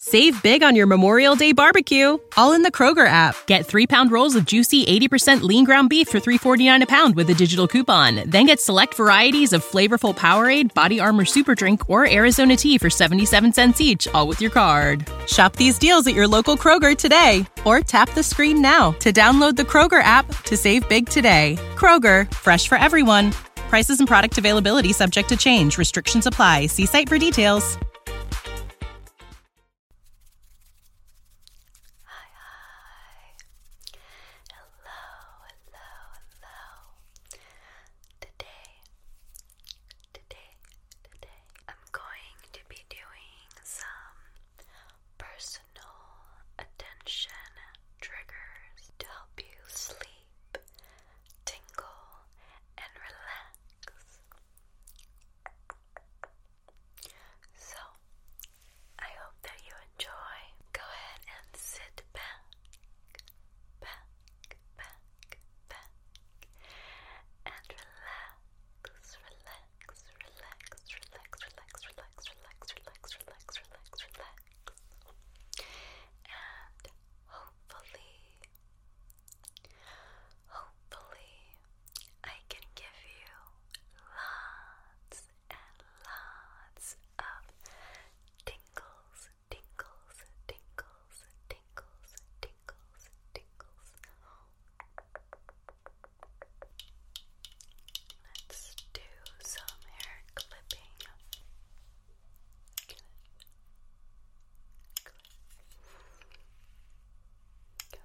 Save big on your Memorial Day barbecue, all in the Kroger app. Get three pound rolls of juicy 80% lean ground beef for 3.49 a pound with a digital coupon. Then get select varieties of flavorful Powerade, Body Armor Super Drink, or Arizona tea for 77 cents each, all with your card. Shop these deals at your local Kroger today, or tap the screen now to download the Kroger app to save big today. Kroger, fresh for everyone. Prices and product availability subject to change. Restrictions apply. See site for details. Hi, hi. Hello, hello, hello. Today, today, today, I'm going to be doing some personal attention triggers to help you sleep tingle, and relax. So, I hope that you enjoy. Go ahead and sit back, back, back, back, and relax, relax, relax, relax, relax, relax, relax, relax, relax, relax, relax. And hopefully, Hopefully, I can give you lots and lots of tingles, tingles, tingles, tingles, tingles, tingles. Let's do some hair clipping. Cliff. Cliff. Cliff. Cliff.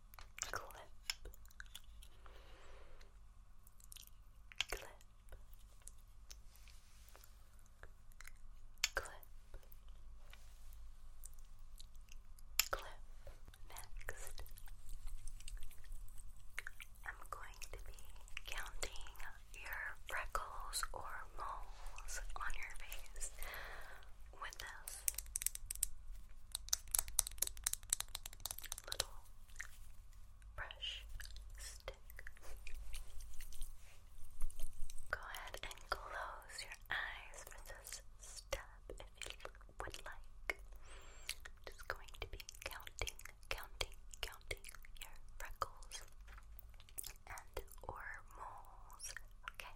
clip, clip, clip, clip. Next, I'm going to be counting your freckles or moles on your face with this little brush stick. Go ahead and close your eyes for this if you would like. just going to be counting, counting, counting your freckles and or moles. Okay.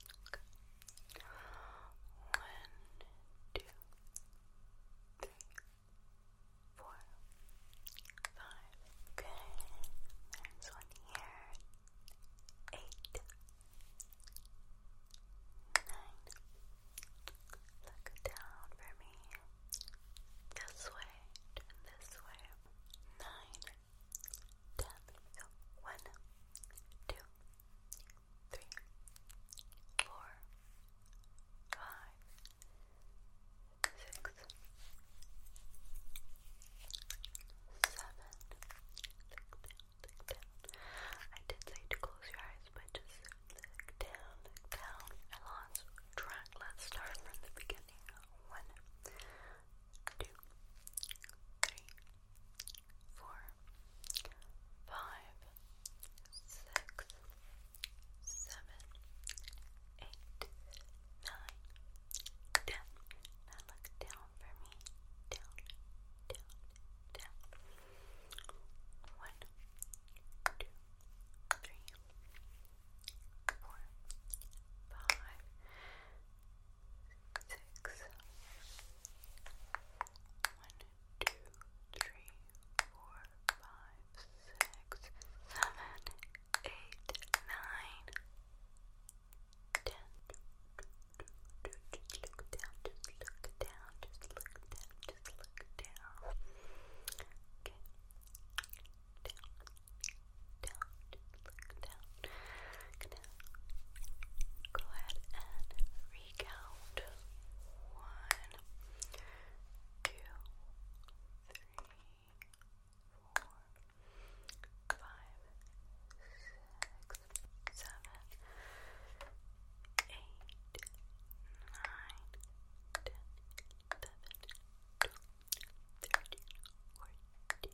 One, two, three, four, five. Okay, there's one here. Eight, nine. Look down for me. This way, this way. Nine, ten. two, three, four, five, six, seven. Look I did say to close your eyes, but just look I lost track. Let's start from the beginning. One, two, three, four, five, six, seven, eight, nine, ten. Now look down for me. Down, down, down. One, two, three, four, five, six, one, two, three, four, five, six, seven, eight, nine, ten. Just look down, just look down, just look down, just look down. Okay. Down, down, just look down. Down. Go ahead and recount. One, two, three, four, five, six, seven, eight, nine, ten, eleven, twelve, thirteen, fourteen,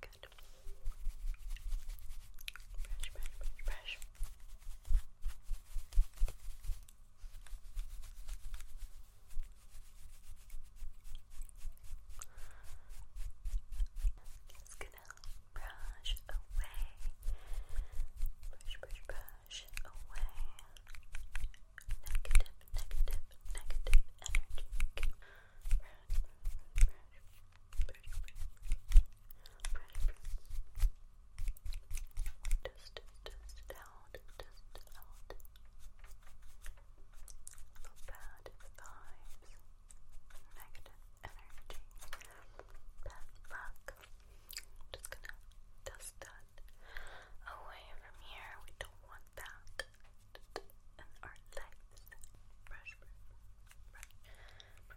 Good. Brush, gonna brush away, brush, brush, brush away negative, negative, negative energy. Just, just out, just out. bad vibes, negative energy. Bad luck. Just gonna dust that that away from here. We don't want that in our lives. brushing that away.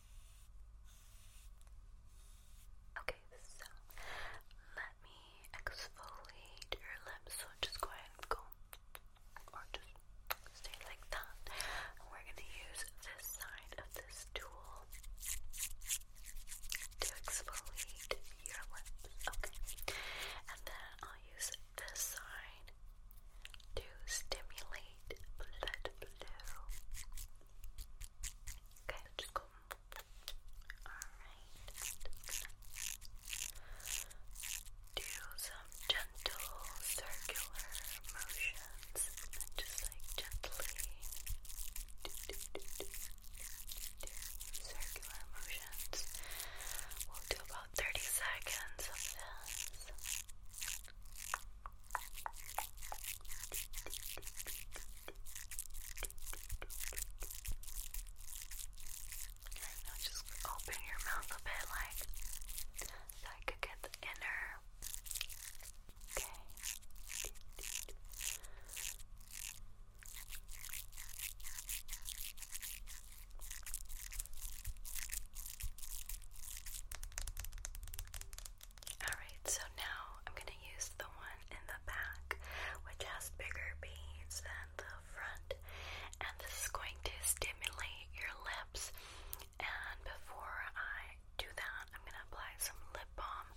Okay, so let me exfoliate your lips. So just go ahead and go, or just stay like that. we're gonna use this side of this tool to exfoliate your lips. Okay, and then I'll use this side to stimulate light blood blue. just go. Alright, do some gentle circular motions just like gently do, do, do, do, do circular motions. We'll do about 30 seconds of this. Now just open your mouth a bit, like, so I could get the inner. Okay. Okay. Alright, so now I'm gonna use the one in the back, which has bigger beads than the front, and this is going to stimulate your lips. And before I do that, I'm gonna apply some lip balm,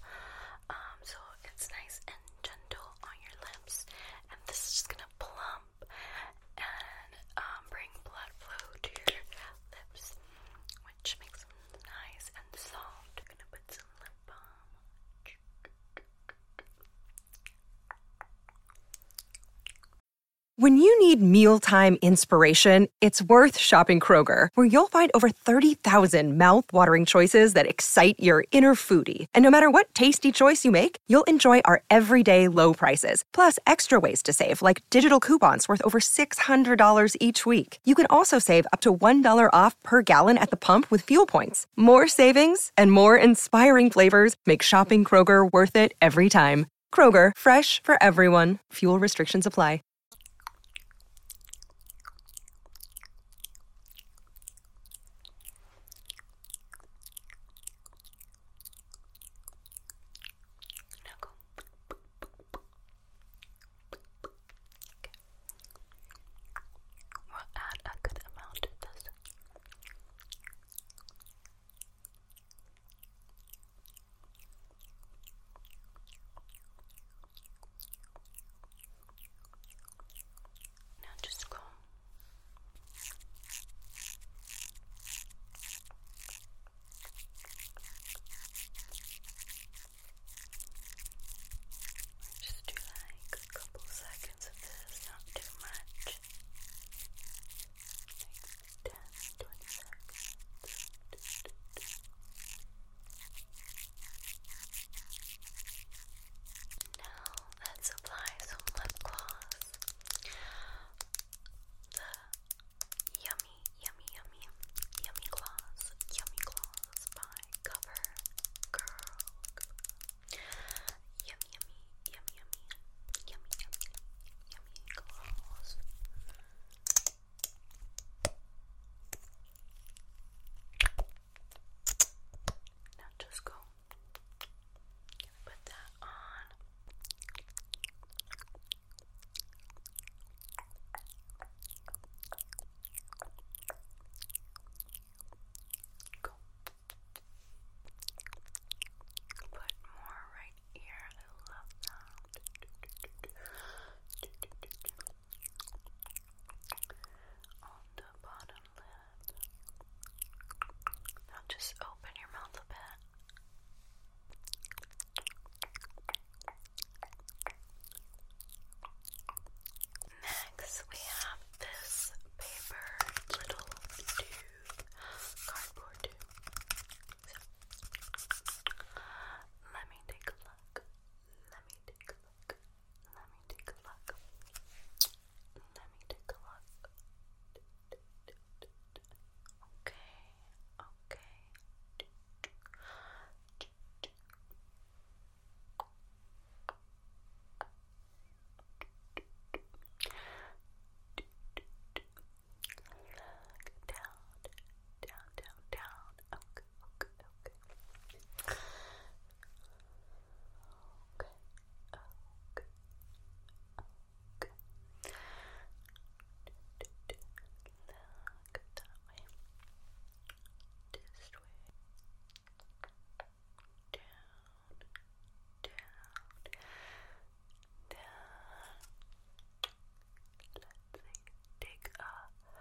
um, so it's nice and gentle on your lips, and this is just gonna plump and um, bring blood flow to your lips. When you need mealtime inspiration, it's worth shopping Kroger, where you'll find over 30,000 thousand mouth-watering choices that excite your inner foodie. And no matter what tasty choice you make, you'll enjoy our everyday low prices, plus extra ways to save, like digital coupons worth over $600 each week. You can also save up to $1 off per gallon at the pump with fuel points. More savings and more inspiring flavors make shopping Kroger worth it every time. Kroger, fresh for everyone. Fuel restrictions apply. Knuckle. We'll add a good amount to this. Now just go just do like a couple seconds of this, not too much. Like seconds. Now let's apply some lip gloss. The Yummy, yummy, yummy, yummy gloss, yummy gloss by Cover Yummy, yummy, yummy, yummy, yummy, yummy, gloss. Now just go put that on. Go. Put more right here. I love that. On the bottom lid. Now just open your mouth a bit. Next, we have this paper little tube, cardboard tube. let me take a look. Let me take a look. Let me take a look. Let me take a look. Okay, okay. down, down, down, down. okay. Okay, okay, okay look. Look way. This way. Down, down, down. Let's take a closer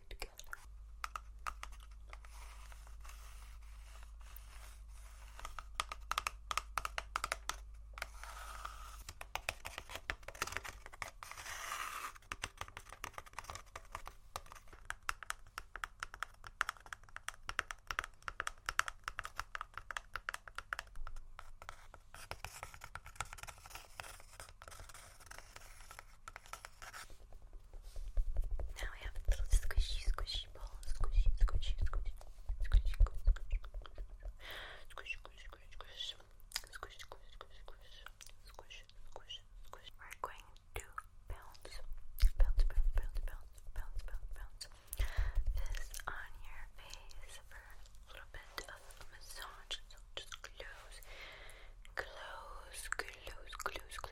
together. Now we have a little squishy, squishy ball. Squishy, squishy, squishy. Squishy, squishy, squishy. Squish, squish, squish, squish. Squish, squish, squish, squish. Squish, squish, squish. We're going to bounce. Bounce, bounce, bounce, bounce, bounce, bounce, bounce. This on your face for a little bit of a massage. So just close, close, close, close, close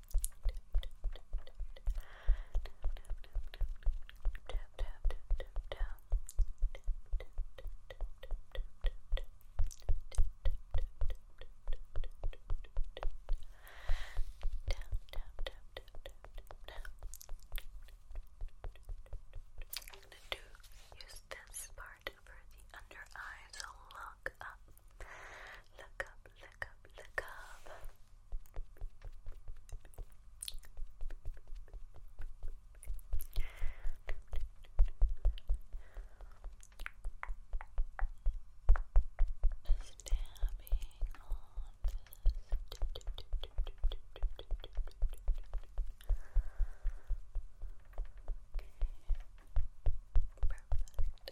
do use this part for the under eye, look up. Look up, look up, look up. Stabbing on this. Perfect.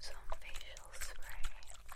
Some facial spray.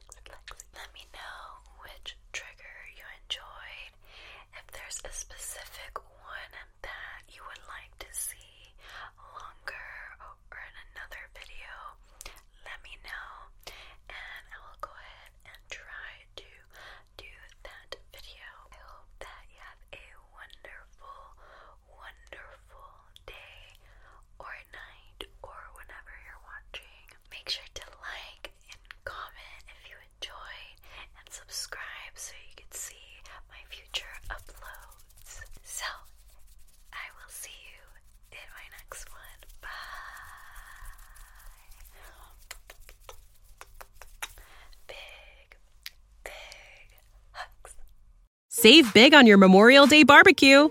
Let me know which trigger you enjoyed. If there's a specific one that you would like to see longer or in another video, let me know and I will go ahead and try to do that video. I hope that you have a wonderful, wonderful day or night or whenever you're watching. Make sure to like comment if you enjoyed, and subscribe so you can see my future uploads. So, I will see you in my next one. Bye. Big, big hugs. Save big on your Memorial Day barbecue